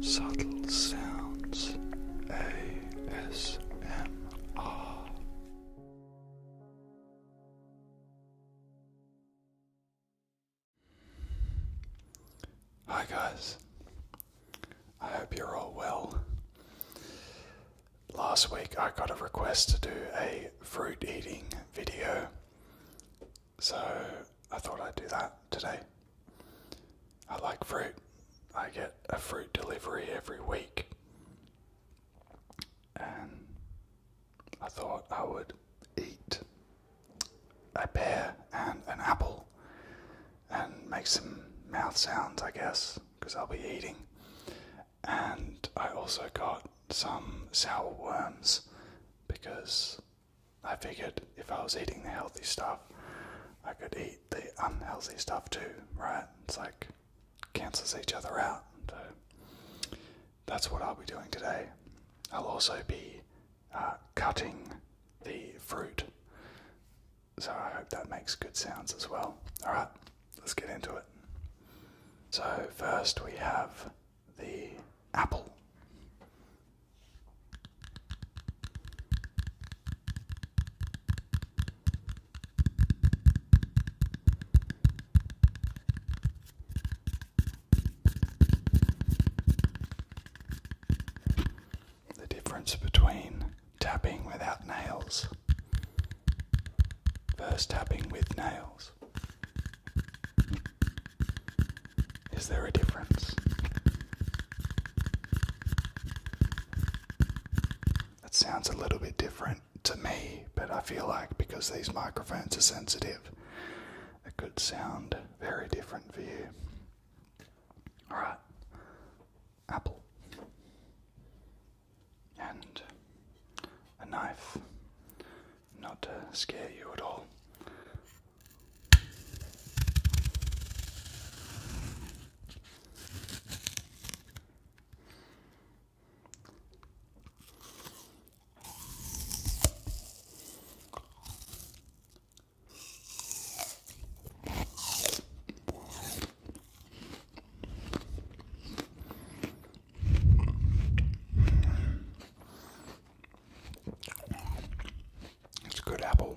Subtle Sounds ASMR Hi guys, I hope you're all well. Last week I got a request to do a fruit eating video, so I thought I'd do that today. I like fruit, I get a fruit delivery every week, and I thought I would eat a pear and an apple and make some mouth sounds, I guess, because I'll be eating. And I also got some sour worms because I figured if I was eating the healthy stuff, I could eat the unhealthy stuff too, right? It's like cancels each other out. So that's what I'll be doing today. I'll also be uh, cutting the fruit. So I hope that makes good sounds as well. Alright, let's get into it. So, first we have the apple the difference between tapping without nails versus tapping with nails. Is there a difference? It sounds a little bit different to me, but I feel like because these microphones are sensitive, it could sound very different for you. All right, apple and a knife, not to scare you at all. It's good apple.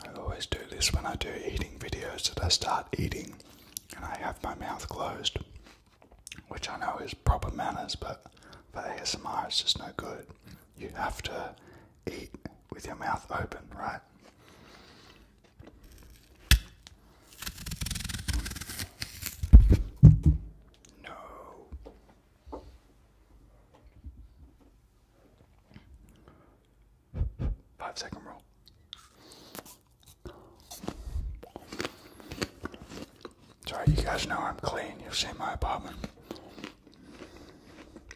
I always do this when I do eating videos that I start eating and I have my mouth closed, which I know is proper manners, but for ASMR it's just no good. You have to eat with your mouth open, right? No. Five second roll. Sorry, you guys know I'm clean. You've seen my apartment.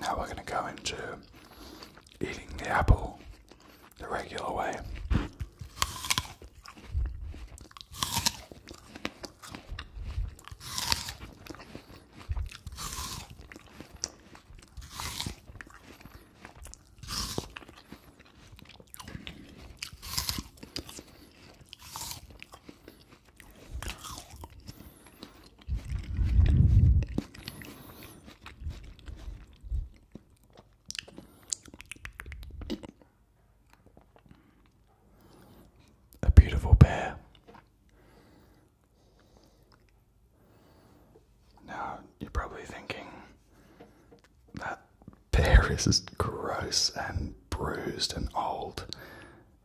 now we're going to go into eating the apple the regular way. A beautiful bear now, you're probably thinking that pear is gross and bruised and old.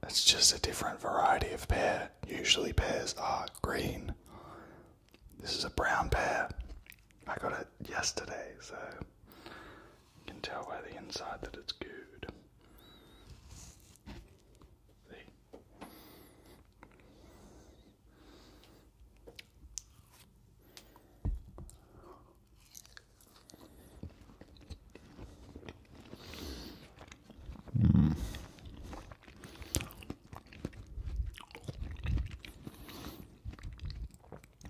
It's just a different variety of pear. Usually, pears are green. This is a brown pear. I got it yesterday, so you can tell by the inside that it's good. Hmm.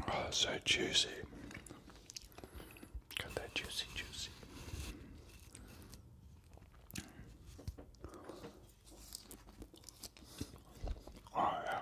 Oh, so juicy. Got that juicy, juicy. Oh, yeah.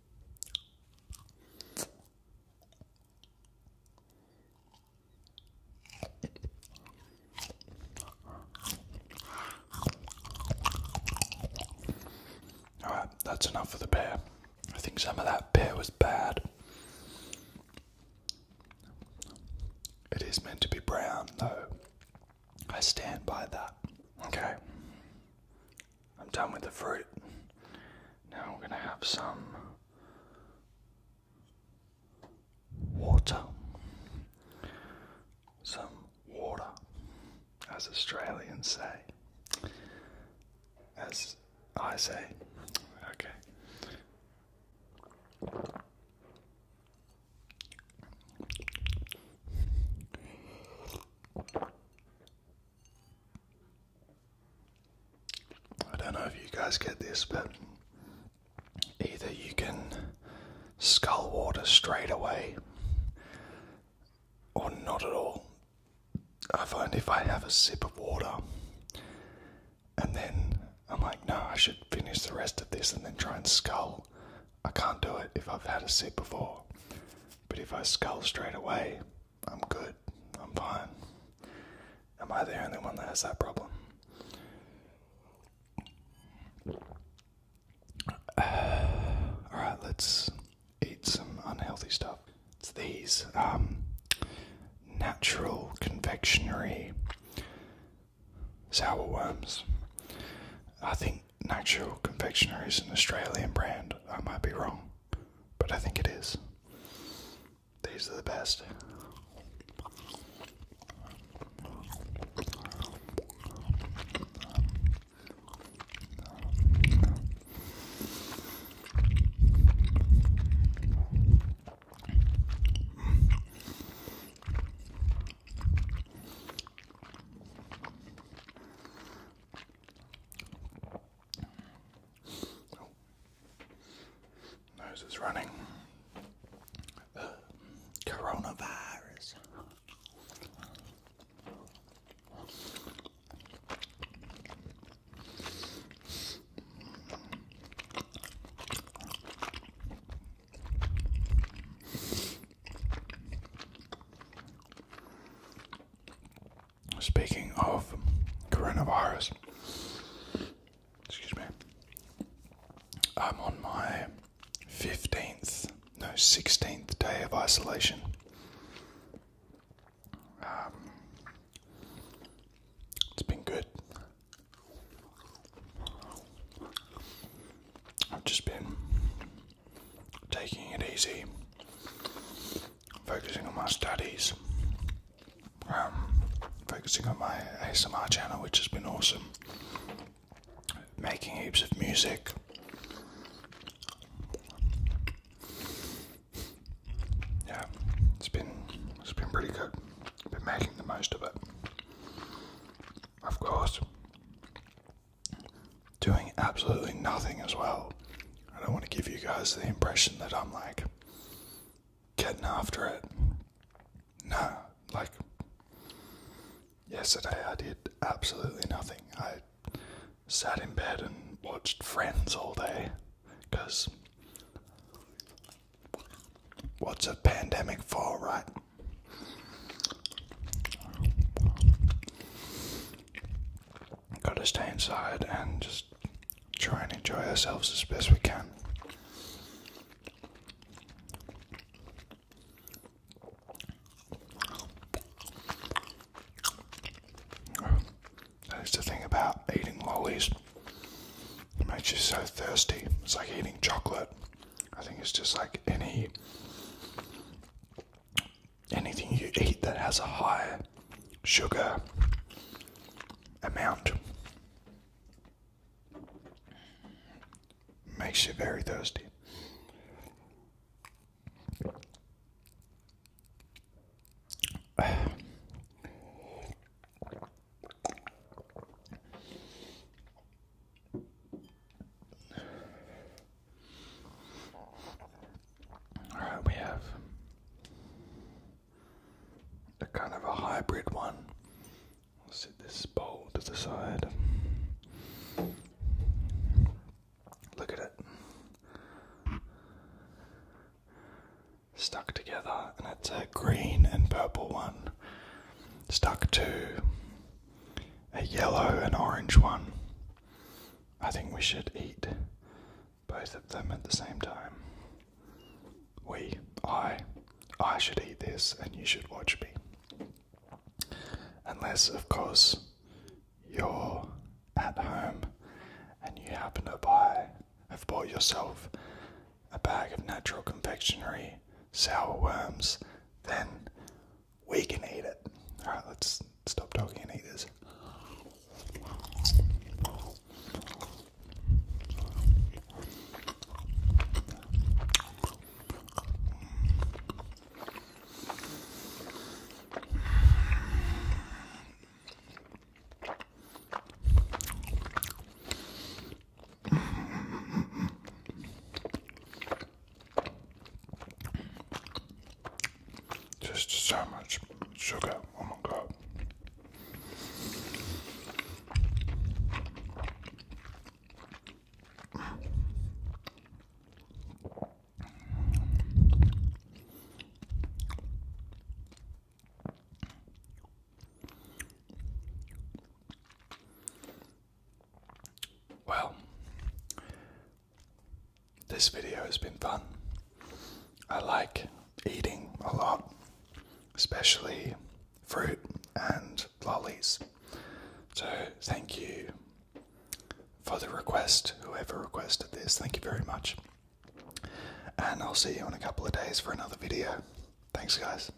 Alright, that's enough for the beer. I think some of that beer was bad. It is meant to be brown, though. I stand by that. Okay. I'm done with the fruit. Now we're going to have some water. Some water, as Australians say. As I say. Okay. I don't know if you guys get this, but either you can scull water straight away or not at all. I find if I have a sip of water and then I'm like, no, I should finish the rest of this and then try and scull I can't do it if I've had a sip before. But if I scull straight away, I'm good. I'm fine. Am I the only one that has that problem? Alright, let's eat some unhealthy stuff. It's these um, natural confectionery sour worms. I think Natural Confectionery is an Australian brand. I might be wrong, but I think it is. These are the best. Oh. Nose is running. Uh, coronavirus. Speaking of coronavirus, excuse me, I'm on my 15th, no, 16th day of isolation. Um, it's been good. I've just been taking it easy, focusing on my studies, um, focusing on my ASMR channel, which has been awesome, making heaps of music. Yeah, it's been it's been pretty good. I've been making the most of it. Of course, doing absolutely nothing as well. I don't want to give you guys the impression that I'm like getting after it. No, like yesterday I did absolutely nothing. I sat in bed and watched Friends all day because what's a pandemic for, right? Gotta stay inside and just try and enjoy ourselves as best we can. That's the thing about eating lollies. It makes you so thirsty. It's like eating chocolate. I think it's just like any anything you eat that has a high sugar amount makes you very thirsty. Alright, we have a kind of a hybrid one. I'll set this bowl to the side. Look at it. Stuck together, and it's a green and purple one stuck to a yellow and orange one. I think we should eat both of them at the same time. We, I, I should eat this and you should watch me. Unless, of course, you're at home and you happen to buy, have bought yourself a bag of natural confectionery sour worms, then we can eat it. Alright, let's stop talking and eat this. Just so much sugar. Oh my god. Well, this video has been fun. I like eating a lot, especially fruit and lollies. So, thank you for the request, whoever requested this. Thank you very much. And I'll see you in a couple of days for another video. Thanks, guys.